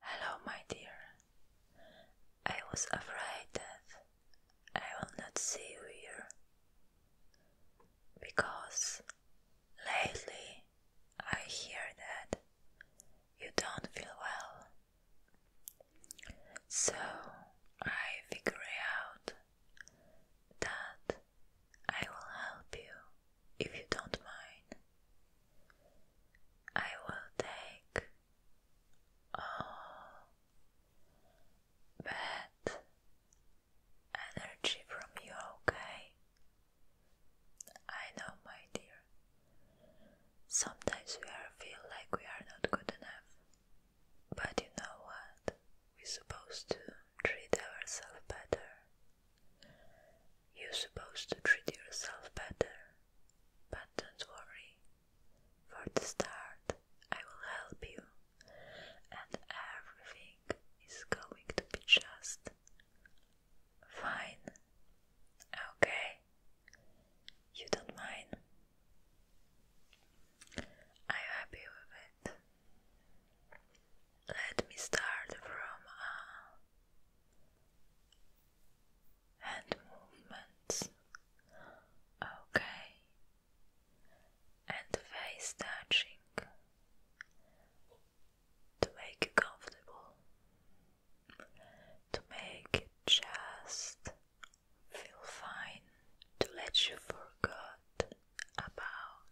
Hello, my dear. I was afraid that I will not see you here because lately I hear that you don't feel well. So I figure out that I will help you if you don't mind. I will take all bad energy from you, okay? I know, my dear. Sometimes we are feel like we are not good enough. But you know what? We're supposed to treat ourselves better. You're supposed to treat yourself better. But don't worry. For the start, I will help you, and everything is going to be just fine. Okay? You don't mind? I'm happy with it. Let me start from uh, hand movements. Okay. And face touching to make you comfortable, to make it just feel fine to let you forget about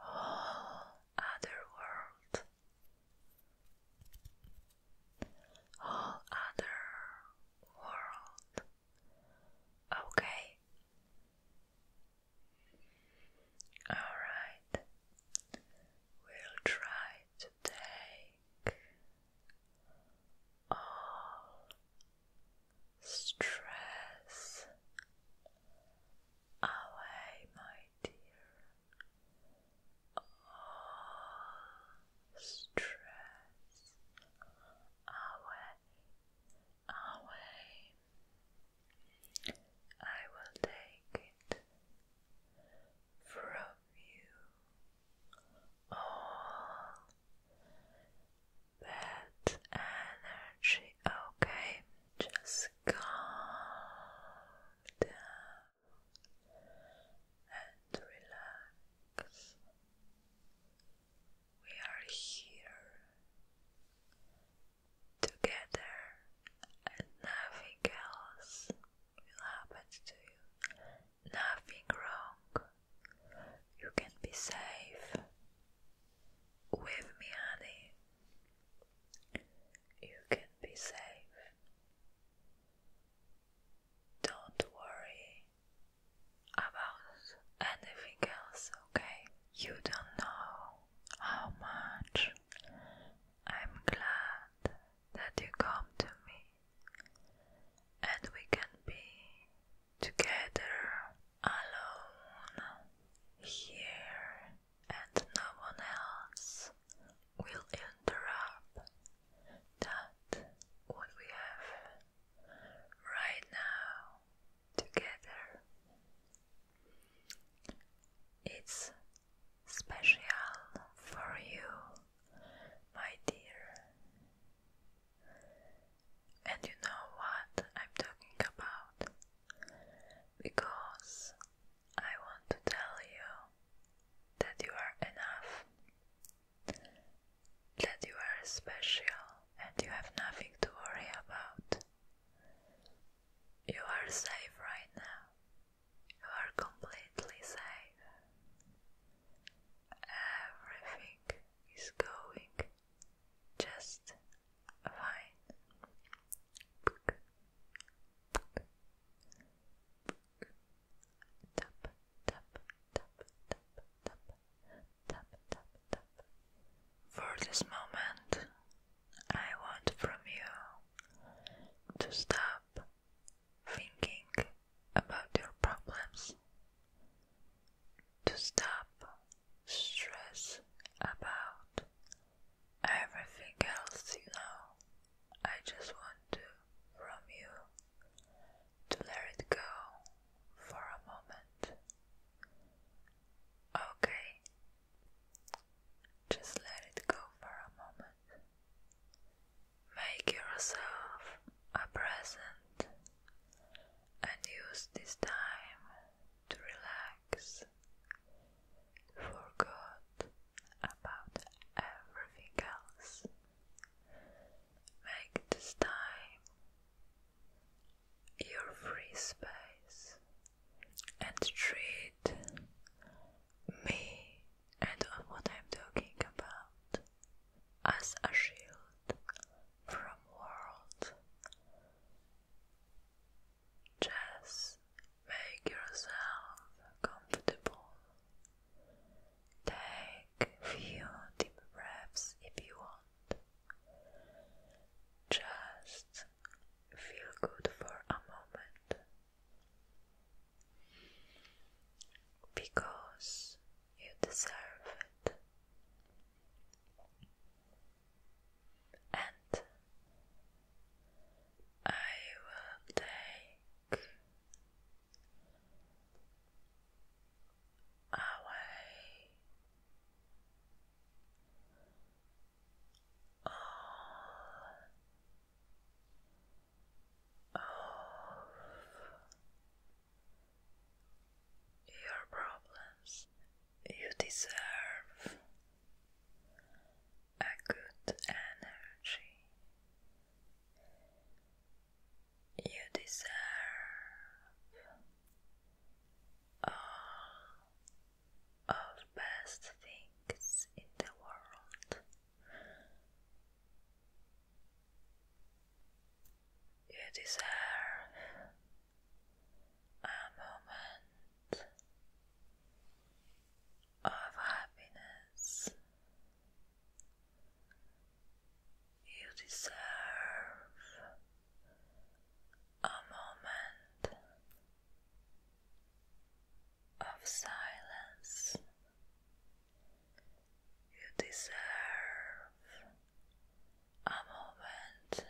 all other world, all other world. Okay. All right. We'll try to take all stress away, my dear. All oh, stress away, away. I will take it from you all that energy. Okay, just calm down and relax. We are here together, and nothing else will happen to you. Nothing wrong. You can be safe with me, honey. You can be safe. Don't worry about anything else, okay? You don't know how much I'm glad that you come to me and we can be together alone here, and no one else will interrupt that what we have right now together. It's special for you, my dear. And you know what I'm talking about? Because I want to tell you that you are enough, that you are special, and you have nothing to worry about. You are safe right now. You are completely safe. Everything is going just fine. For this moment, I want from you to stop thinking about your problems, to stop stress about everything else you know. I just want to from you to let it go for a moment. Okay, just let it go for a moment. Make yourself a present and use this time to relax. Forget about everything else. Make this time your free space and treat me and on what I'm talking about as a shield from world. Just make yourself comfortable. Take few deep breaths if you want. Just feel good for a moment because you deserve it. And I will take away all of your problems. You deserve a good energy. You deserve all of best things in the world. You deserve a moment of happiness. You deserve a moment of silence. You deserve a moment,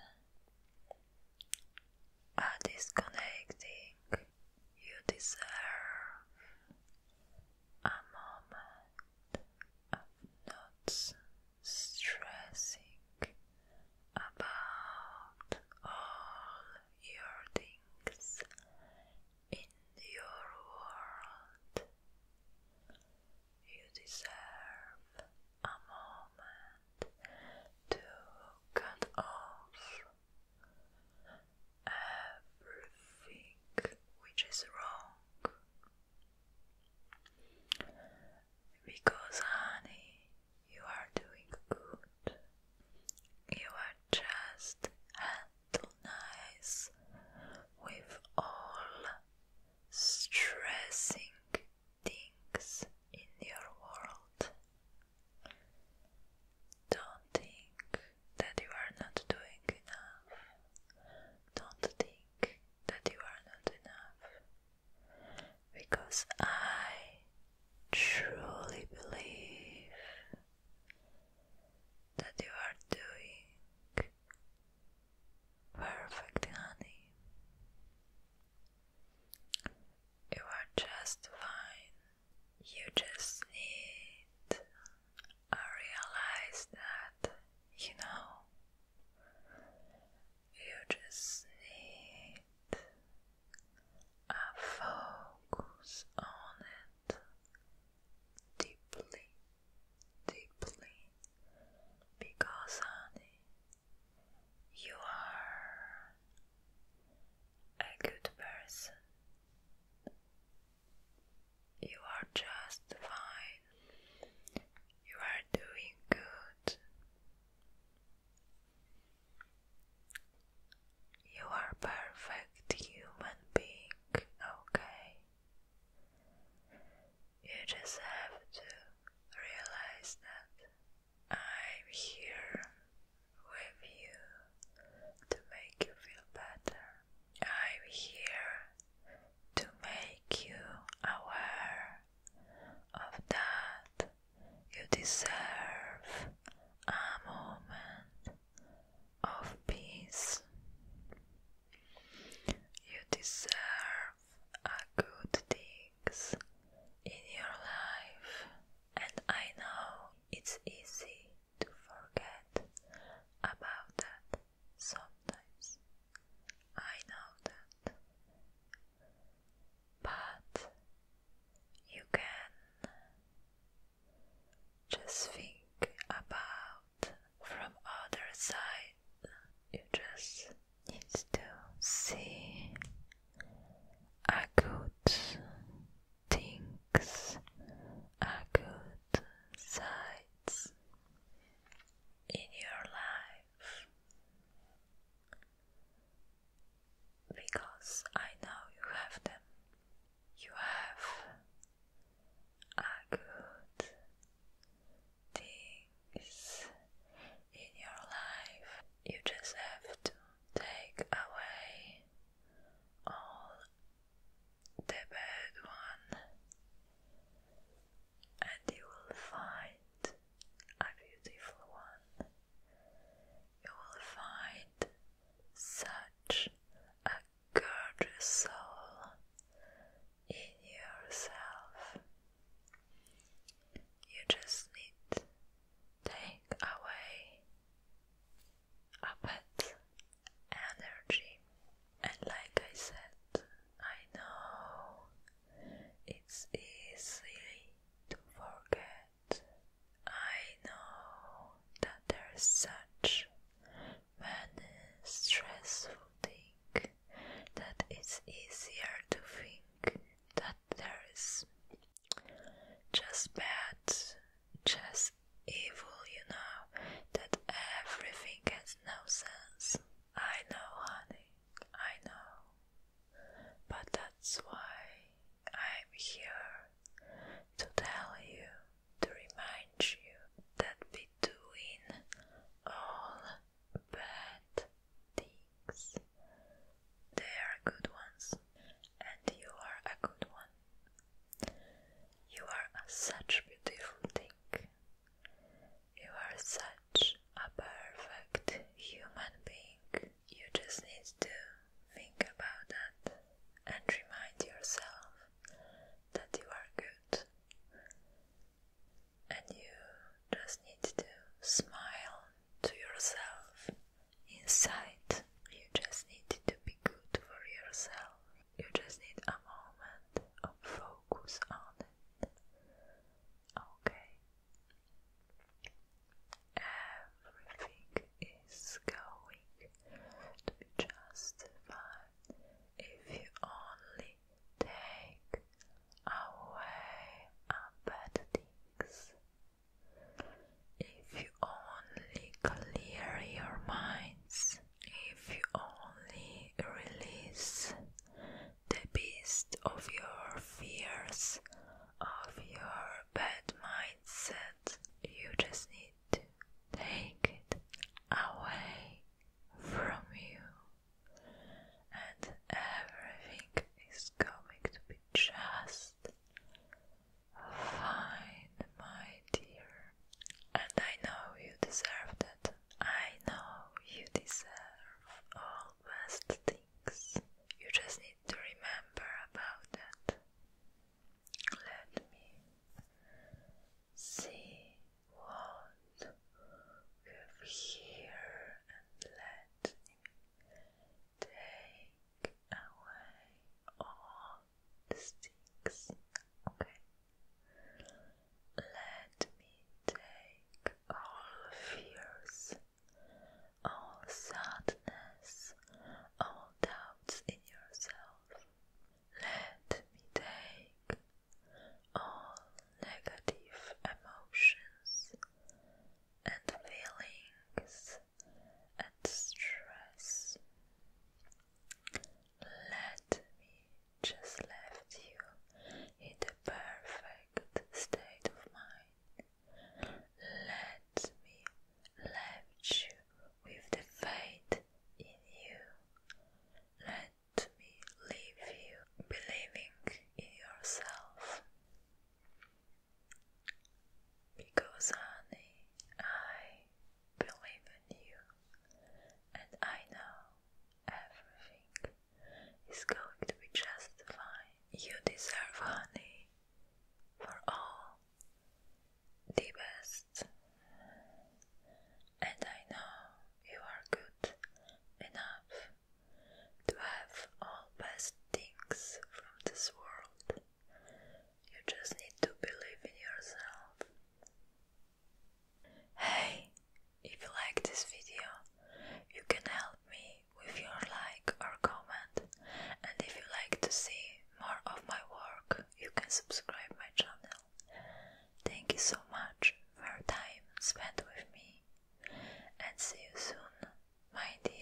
a disconnecting. You deserve a moment of not stressing about all your things in your world. You deserve a moment to cut off everything which is wrong. Because, honey, you are doing good. You are just nice with all stressing things in your world. Don't think that you are not doing enough. Don't think that you are not enough. Because I truly believe that you are doing perfect, honey. You are just fine. You just need. I realize that, you know, you just need I focus on it deeply, deeply, because, honey, you are a good person. You are just fine. You are doing good. You are perfect human being, okay? You just have to realize that I'm here with you to make you feel better. I'm here to make you aware of that you deserve a moment of peace. You deserve a good things in your life, and I know it's easy to forget about that sometimes. I know that but you can just think about from other side. You just need to see a good things, a good sides in your life because I know you have them. You have a good things in your life. You just have to take away all the bad one and you will find a beautiful one you will find such a gorgeous soul in yourself. You just need to take away a bit energy, and like I said, I know it's easy to forget I know that there's such many stressful things that it's easier to think that there is just bad, just evil, you know, that everything has no sense. I know, honey, I know. But that's why I'm here to tell you, to remind you that we doing all bad things. They are good ones, and you are a good one. You are such a beautiful thing. You are such a perfect human being you just need to think about that and remind yourself that you are good. And you just need to smile to yourself inside. You just need to be good for yourself. You just need a moment of focus on it. Okay. Everything is going to be just fine if you only take away bad things. If you only clear your minds, if you only release the beast of your fears, of your bad mindset. You just need to take it away from you, and everything is coming to be just fine, my dear. And I know you deserve that. I know you deserve all best things. You just need to remember about that. Let me see what we have here and let me take away all these things. Okay. Let me take all fears all sadness, all doubts in yourself. Let me take all negative emotions and feelings and stress. Let me just left you in the perfect state of mind. Let me left you with the faith in you. Let me leave you believing in yourself. Because, honey, I believe in you, and I know Everything is going to be just fine. You deserve honey for all the best. And I know you are good enough to have all best things from this world. You just need to believe in yourself. Hey, if you like this video, you can help me with your like or comment and if you like to see more of my work, you can subscribe my channel. Thank you so much for your time spent with me and see you soon, my dear.